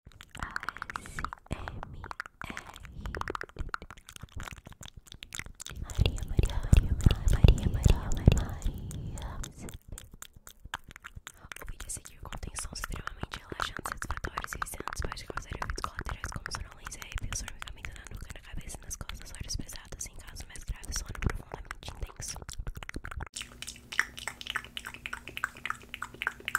Maria, Maria, Maria, Maria, Maria, Maria. O vídeo a seguir contém sons extremamente relaxantes, satisfatórios e viciantes. Pode causar efeitos colaterais como sonolência, arrepios, formicamento na nuca, na cabeça e nas costas, olhos pesados em casos mais graves, sono profundamente intenso.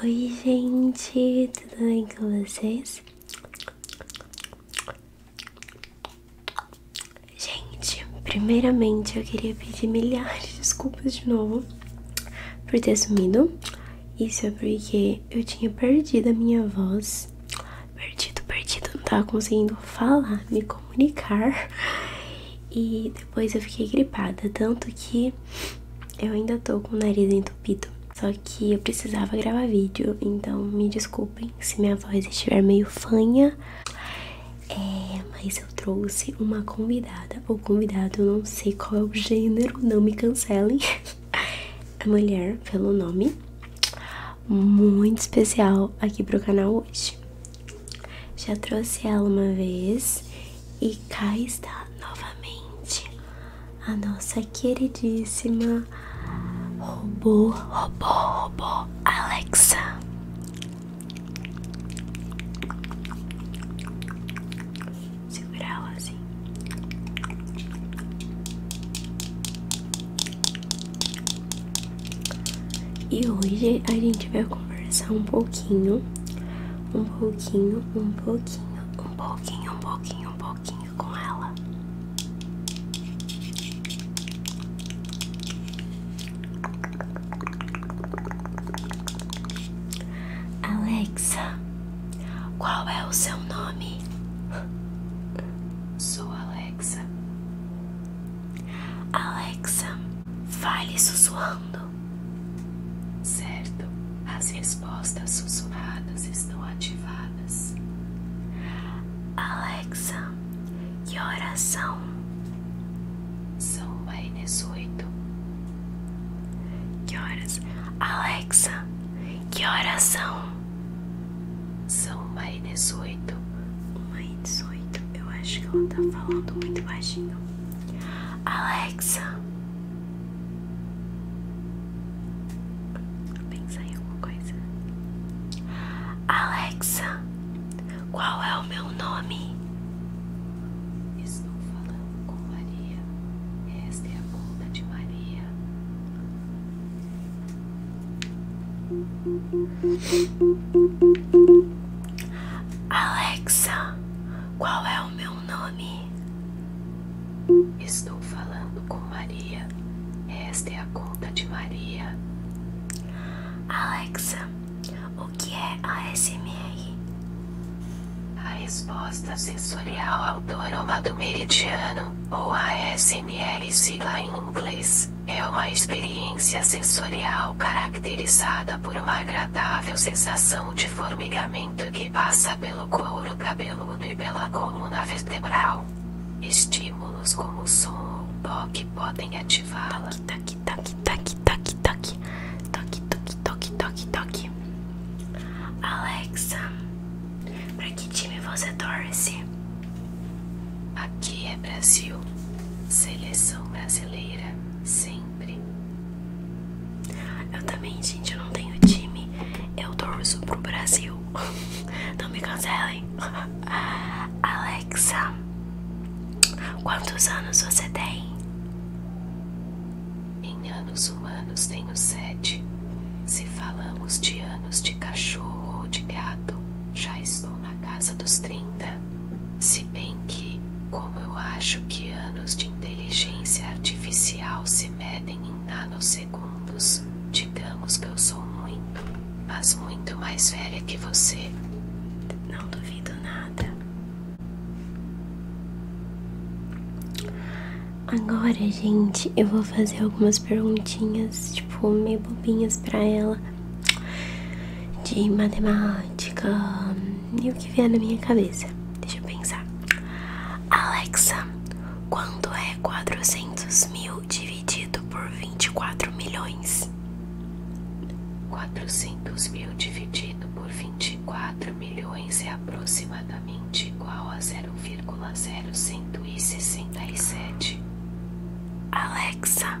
Oi, gente, tudo bem com vocês? Gente, primeiramente eu queria pedir milhares de desculpas de novo por ter sumido. Isso é porque eu tinha perdido a minha voz. Perdido, perdido, não tava conseguindo falar, me comunicar. E depois eu fiquei gripada, tanto que eu ainda tô com o nariz entupido. Só que eu precisava gravar vídeo, então me desculpem se minha voz estiver meio fanha. É, mas eu trouxe uma convidada, ou convidado, não sei qual é o gênero, não me cancelem. A mulher, pelo nome, muito especial aqui pro canal hoje. Já trouxe ela uma vez e cá está novamente a nossa queridíssima robô, robô, robô Alexa. Segurar ela assim. E hoje a gente vai conversar um pouquinho um pouquinho, um pouquinho, um pouquinho, um pouquinho, um pouquinho com ela. Alexa, qual é o seu nome? Sou Alexa. Alexa. Fale sussurrando. Certo, as respostas sussurradas estão ativadas. Alexa, que horas são? São mais 18. Que horas? Alexa, que horas são? São mais 18. 1 e 18. Eu acho que ela tá falando muito baixinho. Alexa. Pensa em alguma coisa. Alexa, qual é o meu nome? Estou falando com Maria. Esta é a conta de Maria. Alexa, qual é o meu nome? Estou falando com Maria. Esta é a conta de Maria. Alexa, o que é a SMR? A resposta sensorial ao é do meridiano, ou ASMR sigla em inglês, é uma experiência sensorial caracterizada por uma agradável sensação de formigamento que passa pelo couro cabeludo e pela coluna vertebral. Estímulos como som ou toque podem ativá-la. Toque, toque, toque, toque, toque, toque, toque, toque, toque, toque. Alexa, para que time você torce? Aqui é Brasil, seleção brasileira, sempre. Eu também, gente, eu não tenho time, eu torço pro Brasil. Não me cancelem. Alexa, quantos anos você tem? Em anos humanos tenho sete. Se falamos de anos de cachorro ou de gato, já estou na casa dos trinta. Se bem que, como eu acho que anos de inteligência artificial se medem em nanosegundos, digamos que eu sou muito, mas muito mais velha que você. Não duvido nada. Agora, gente, eu vou fazer algumas perguntinhas, tipo, meio bobinhas pra ela de matemática e o que vier na minha cabeça. Deixa eu pensar. Alexa, quanto é 400 mil dividido por 24 milhões? 400 mil dividido por 24 milhões é aproximadamente igual a 0,0167. Alexa,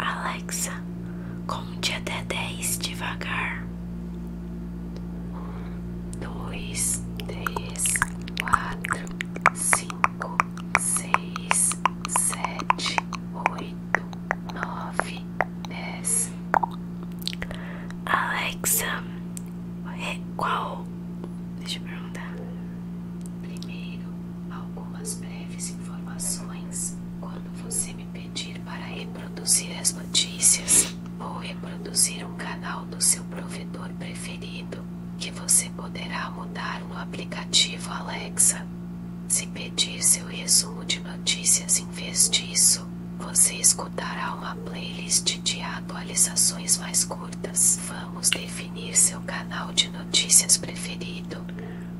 Alexa, conte até dez devagar. Um, dois, três, quatro, cinco, seis, sete, oito, nove, dez. Alexa, é, qual? Deixa eu perguntar. Primeiro algumas breves informações quando você me pedir para reproduzir as notícias ou reproduzir um canal do seu provedor preferido, que você poderá mudar no aplicativo Alexa. Se pedir seu resumo de notícias em vez disso, você escutará uma playlist de atualizações mais curtas. Vamos definir seu canal de notícias preferido,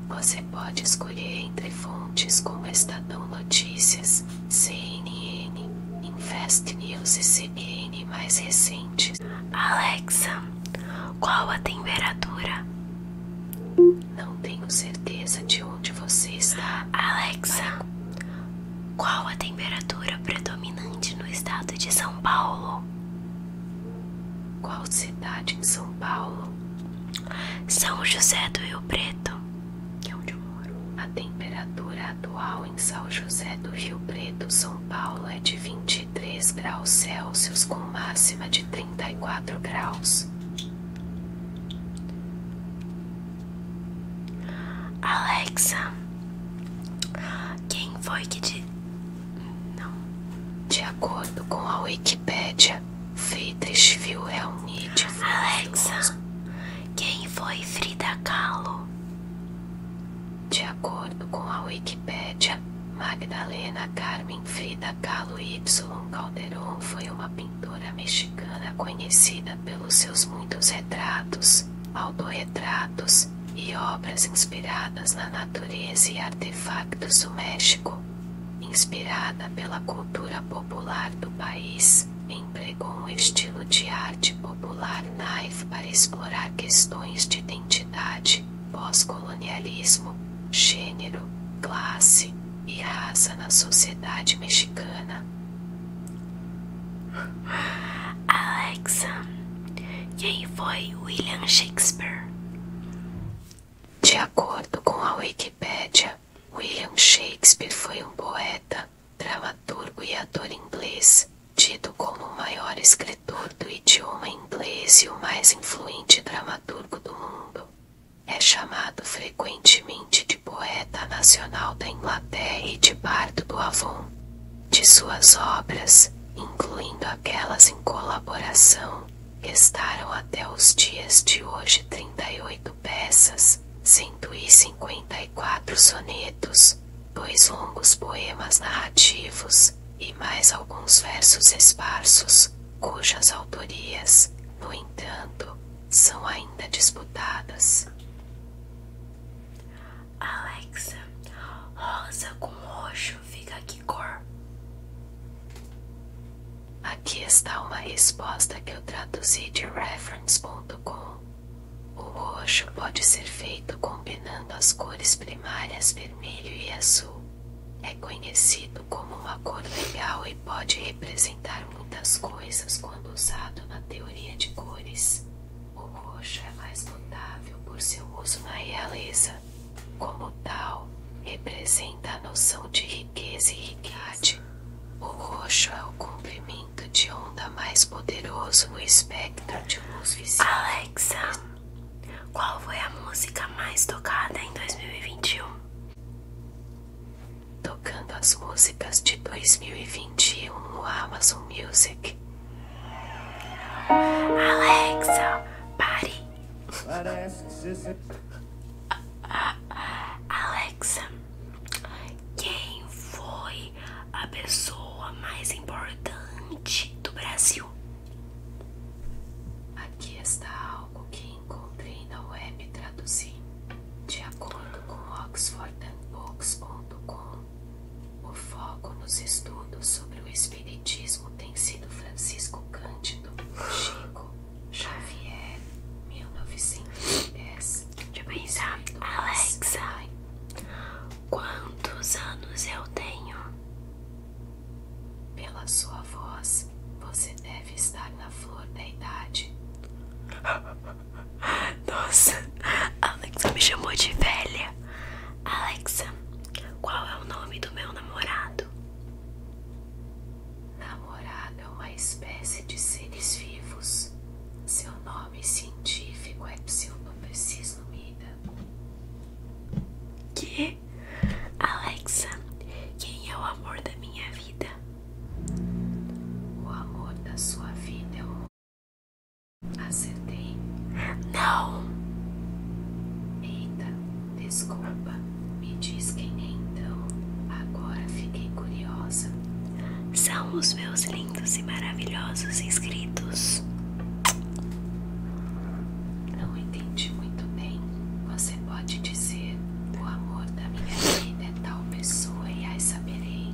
você pode escolher entre fontes como Estadão Notícias, CNN, Invest News e CBN mais recentes. Alexa, qual a temperatura? Não tenho certeza de onde você está. Alexa, qual a temperatura predominante no estado de São Paulo? Qual cidade em São Paulo? São José do Rio Preto, que é onde eu moro. A temperatura atual em São José do Rio Preto, São Paulo, é de 23 graus Celsius com máxima de 34 graus. Alexa, quem foi que te não. De acordo com a Wikipédia, Friedrichsville é um mídia. Alexa, quem foi Frida Kahlo? De acordo com a Wikipedia, Magdalena Carmen Frida Kahlo Y. Calderón foi uma pintora mexicana conhecida pelos seus muitos retratos pinturas, autorretratos e obras inspiradas na natureza e artefactos do México. Inspirada pela cultura popular do país, empregou um estilo de arte popular naive para explorar questões de identidade, pós-colonialismo, gênero, classe e raça na sociedade mexicana. Alexa. Quem foi William Shakespeare? De acordo com a Wikipédia, William Shakespeare foi um poeta, dramaturgo e ator inglês, tido como o maior escritor do idioma inglês e o mais influente dramaturgo do mundo. É chamado frequentemente de poeta nacional da Inglaterra e de bardo do Avon de suas obras, incluindo aquelas em colaboração, restaram até os dias de hoje 38 peças, 154 sonetos, dois longos poemas narrativos e mais alguns versos esparsos, cujas autorias, no entanto, são ainda disputadas. Alexa, rosa com roxo fica que cor? Aqui está uma resposta que eu traduzi de reference.com. O roxo pode ser feito combinando as cores primárias vermelho e azul. É conhecido como uma cor legal e pode representar muitas coisas quando usado na teoria de cores. O roxo é mais notável por seu uso na realeza. Como tal, representa a noção de riqueza e riquidade. O roxo é o comprimento de onda mais poderoso no espectro de luz visível. Alexa, qual foi a música mais tocada em 2021? Tocando as músicas de 2021 no Amazon Music. Alexa, pare. Alexa, quem foi a pessoa mais importante do Brasil? Aqui está algo que encontrei na web e traduzi. De acordo com oxfordandbooks.com, o foco nos estudos sobre o Espiritismo tem sido Francisco Cândido Chico Xavier, 1910. Deixa eu pensar. Alexa, quantos anos eu tenho? Pela sua voz, você deve estar na flor da idade. Nossa, Alexa me chamou de velha. Alexa, qual é o nome do meu namorado? Namorado é uma espécie de seres vivos. Seu nome científico é pseudopescismida. Que? Alexa, quem é o amor da minha vida? O amor da sua vida é o Acertei. Não! Eita, desculpa. Me diz quem é então. Agora fiquei curiosa. São os meus lindos e maravilhosos inscritos. Não entendi muito bem. Você pode dizer o amor da minha vida tal pessoa e aí saberei.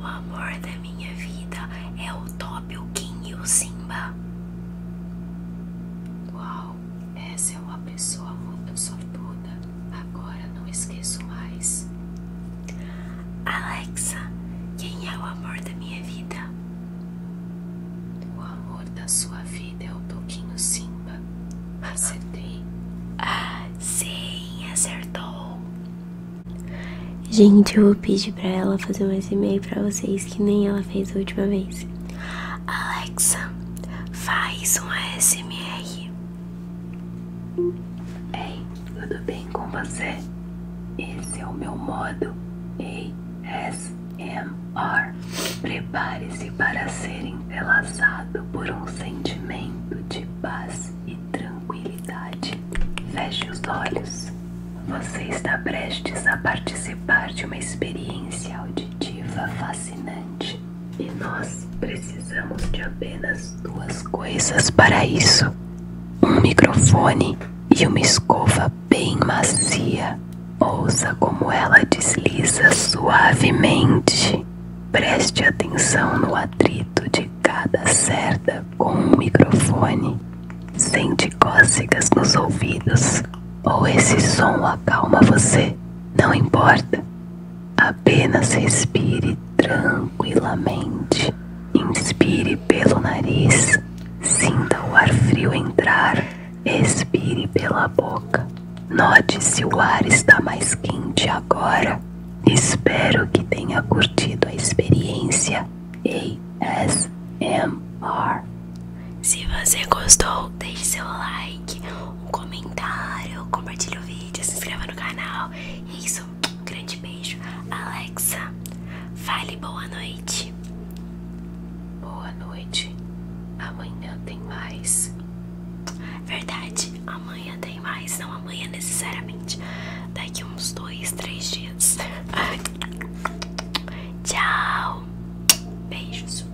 O amor da minha vida é o Top, o e o Simba. Uau, essa é uma pessoa muito sortuda. Agora não esqueço mais. Alexa, quem é o amor da minha vida? O amor da sua vida é o Toquinho Simba. Acertei. Ah, sim, acertou. Gente, eu vou pedir pra ela fazer um SMR pra vocês, que nem ela fez a última vez. Alexa, faz um ASMR. Ei, tudo bem com você? Esse é o meu modo ASMR. Prepare-se para serem Relaxado por um sentimento de paz e tranquilidade. Feche os olhos. Você está prestes a participar de uma experiência auditiva fascinante. E nós precisamos de apenas duas coisas para isso: um microfone e uma escova bem macia. Ouça como ela desliza suavemente Preste atenção no atrito de cada cerda com o microfone. Sente cócegas nos ouvidos ou esse som acalma você, não importa. Apenas respire tranquilamente. Inspire pelo nariz, sinta o ar frio entrar, expire pela boca. Note se o ar está mais quente agora. Espero que tenha curtido a experiência ASMR. Se você gostou, deixe seu like, um comentário, compartilhe o vídeo, se inscreva no canal. É isso, um grande beijo. Alexa, fale boa noite. Boa noite. Amanhã tem mais. Verdade, amanhã tem mais. Não amanhã necessariamente. Daqui uns dois, três dias. Tchau. Beijos.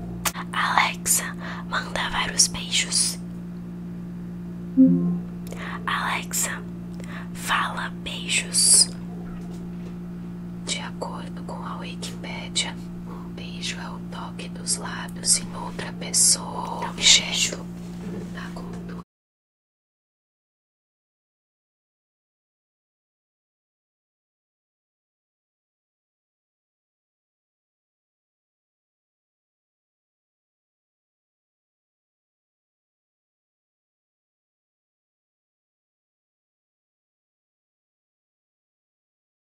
Alexa, manda vários beijos. Alexa, fala beijos. De acordo com a Wikipedia. Um beijo é o toque dos lábios em outra pessoa, objeto na